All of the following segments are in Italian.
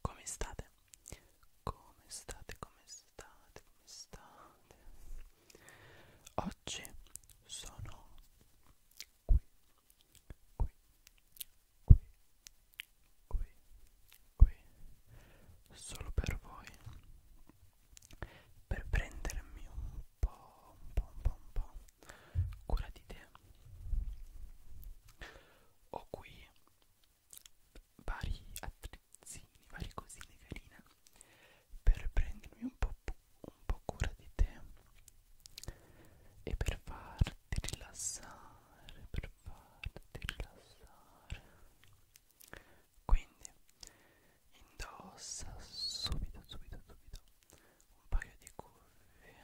Come state? Come state? Come state? Come state? Oggi sono qui, qui, qui, qui, qui, solo per voi, per prendermi un po', un po', un po', un po' cura di te. Ho qui vari attrezzini, varie cosine carine per prendermi un po', un po' cura di te e per farti rilassare, per farti rilassare. Quindi indossa subito, subito, subito un paio di cuffie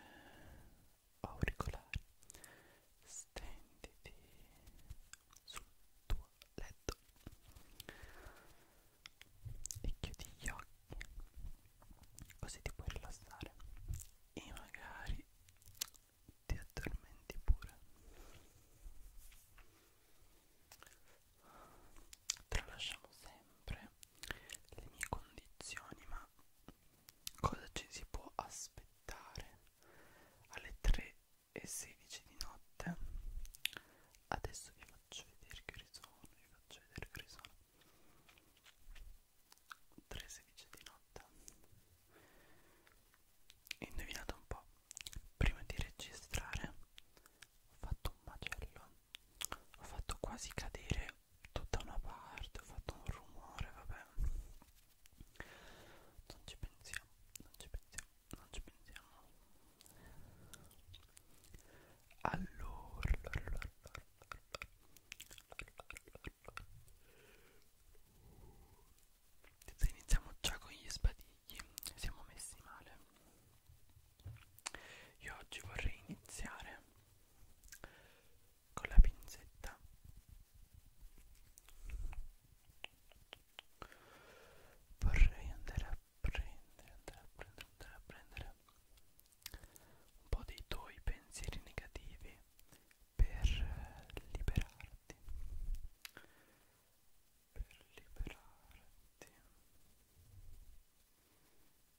auricolari stenditi sul tuo letto e chiudi gli occhi così ti puoi rilassare e magari ti addormenti pure tralasciamo sempre le mie condizioni ma cosa ci si può aspettare alle 3 e 16 di notte adesso vi faccio vedere che ore sono vi faccio vedere che ore sono 3 e 16 di notte indovinate un po' prima di registrare ho fatto un macello ho fatto quasi cadere tutta una parte, ho fatto un rumore, vabbè. Non ci pensiamo, non ci pensiamo, non ci pensiamo. Allora, allora, allora, allora, allora, allora. Se iniziamo già con gli sbadigli, siamo messi male. Io oggi vorrei iniziare con la pinzetta vorrei andare a prendere andare a prendere andare a prendere un po' dei tuoi pensieri negativi per liberarti per liberarti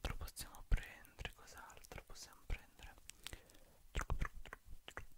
Cos'altro possiamo prendere? Cos'altro possiamo prendere? Truc, truc, truc, truc,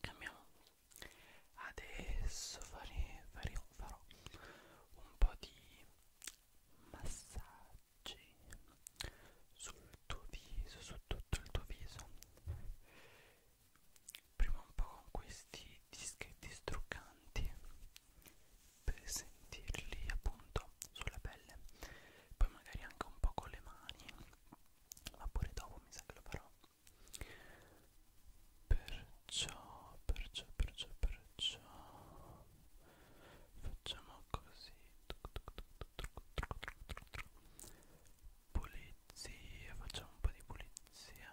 Cambiamo. Adesso fare, fare, farò un po' di massaggi sul tuo viso, su tutto il tuo viso. Prima un po' con questi dischetti struccanti per sentirli appunto sulla pelle poi magari anche un po' con le mani ma pure dopo mi sa che lo farò perciò perciò perciò perciò facciamo così pulizia facciamo un po' di pulizia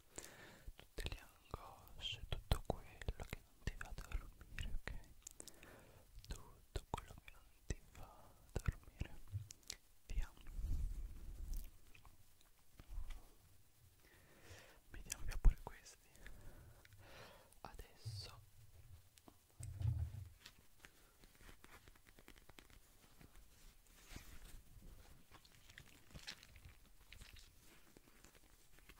tutte le angosce, tutto quello che non ti va a dormire, ok? Tutto quello che non ti va a dormire, via. Vediamo via pure questi. Adesso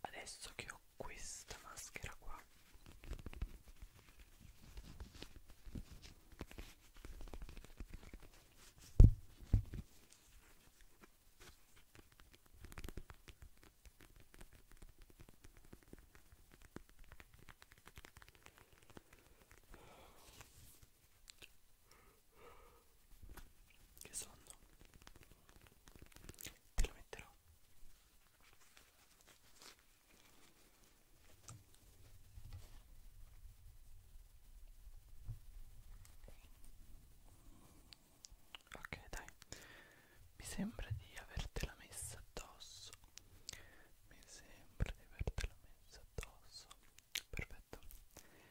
adesso che ho questa maschera qua che sonno Te lo metterò Ok dai Mi sembra di avertela messa addosso Mi sembra di avertela messa addosso Perfetto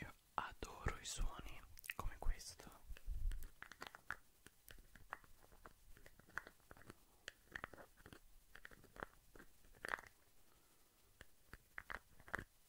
io adoro i suoni come questo.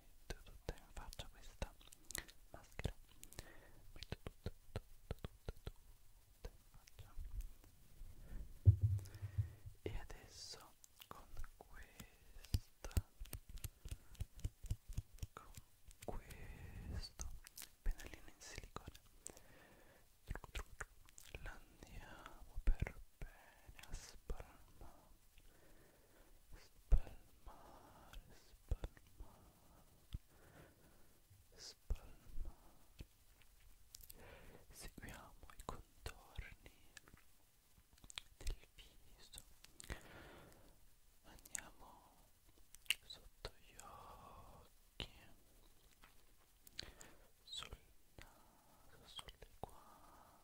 metto tutta in faccia questa maschera metto tutta tutta tutta tutta in faccia e adesso con questa con questo pennellino in silicone l'andiamo per bene a spalmare spalmare, spalmare, spalmare. Seguiamo i contorni del viso. Andiamo sotto gli occhi, sul naso, sulle guance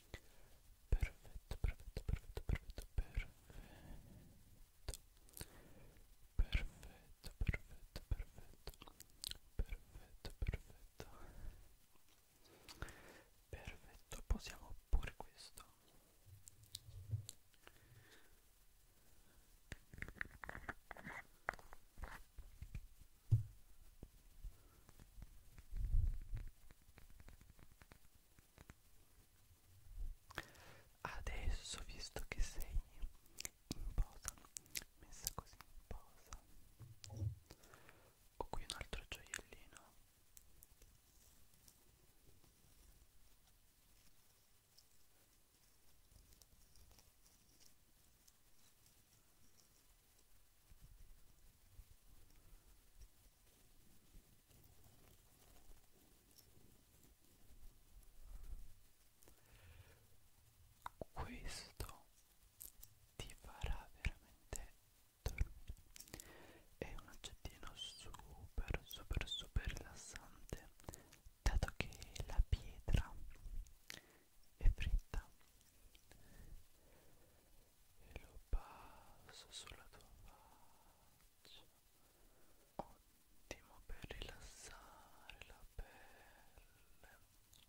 perfetto, perfetto, perfetto, perfetto, perfetto, perfetto, perfetto, perfetto, perfetto, perfetto, perfetto, posiamo pure questo. Perfetto, Adesso, visto che sei in posa, messa così in posa, ho qui un altro gioiellino questo ti farà veramente dormire è un oggettino super super super rilassante dato che la pietra è fritta e lo passo sulla tua faccia ottimo per rilassare la pelle Così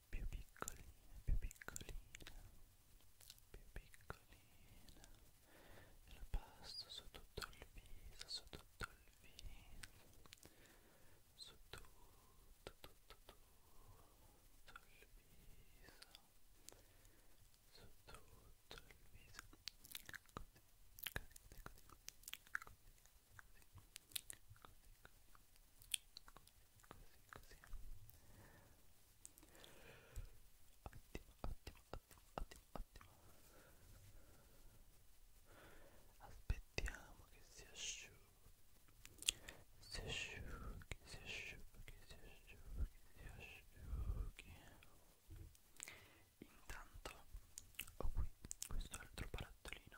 più piccolina, più piccolina, più piccolina, la pasta su tutto il viso, su tutto il viso, su tutto, tutto, tutto il viso, su tutto il viso, così, così, così, così, così ottimo aspettiamo che si asciughi si asciughi si asciughi si asciughi si asciughi intanto ho qui questo altro barattolino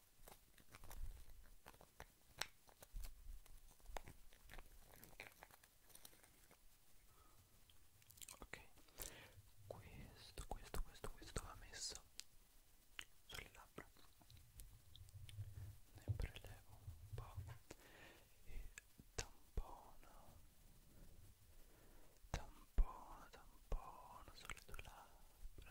ok questo questo questo questo va messo sulle labbra ne prelevo un po' e tampono tampono tampono sulle tue labbra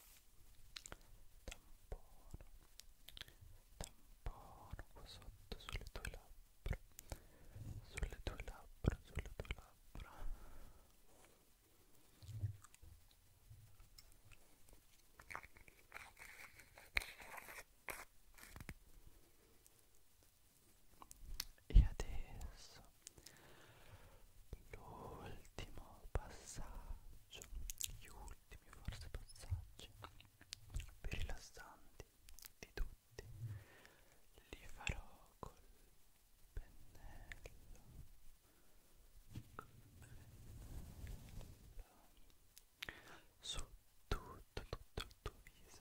tampono tampono qua sotto sulle tue labbra sulle tue labbra sulle tue labbra e adesso l'ultimo passaggio gli ultimi forse passaggi più rilassanti di tutti li farò col pennello col pennello su tutto tutto il tuo viso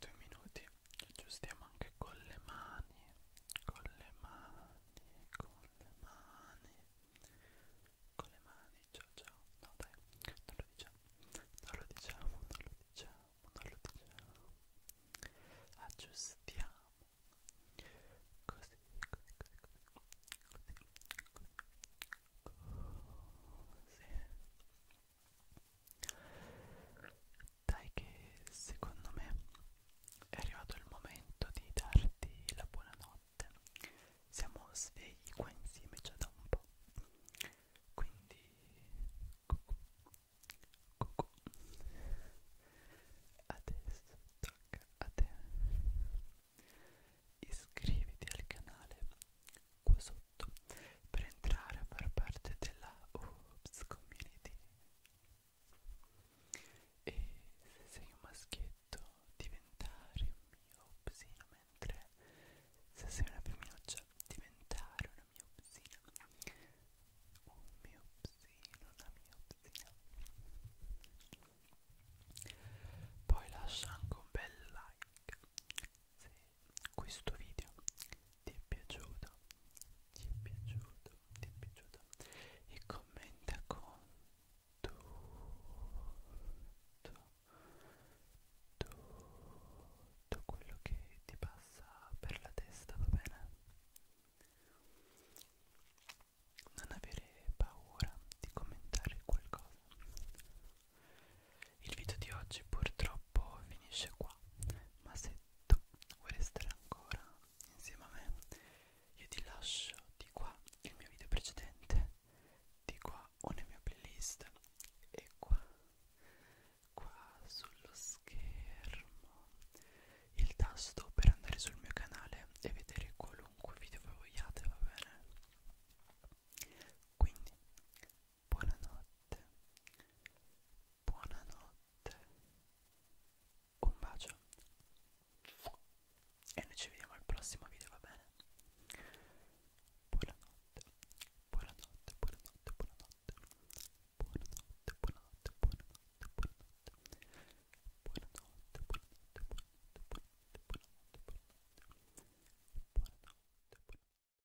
due minuti aggiustiamo anche con le mani con le mani con le mani con le mani ciao ciao no dai non lo diciamo non lo diciamo non lo diciamo non lo diciamo aggiustiamo così così così così così così dai che secondo me è arrivato il momento di darti la buonanotte. Siamo svegli qua insieme già da un po'. Quindi cucù, cucù. Adesso tocca a te. Iscriviti al canale qua sotto tutto per entrare a far parte della Oops Community. E se sei un maschietto, diventare un mio upsino, mentre se sei una femminuccia, diventare una mia upsina. Un mio upsino, una mia upsina. Poi lascia anche un bel like se questo video ti è piaciuto ti è piaciuto ti è piaciuto e commenta con tutto tutto quello che ti passa per la testa va bene non avere paura di commentare qualcosa il video di oggi purtroppo finisce qua, ma se tu vuoi restare ancora insieme a me, io ti lascio di qua il mio video precedente, di qua una mia playlist e qua, qua sullo schermo, il tasto per andare sul mio canale e vedere qualunque video voi vogliate, va bene? Quindi buonanotte, buonanotte, un bacio e noi ci vediamo al prossimo video, va bene? Buonanotte, buonanotte, buonanotte, buonanotte, buonanotte, buonanotte, buonanotte, buonanotte, buonanotte, buonanotte, buonanotte, buonanotte, buonanotte, buonanotte, buonanotte.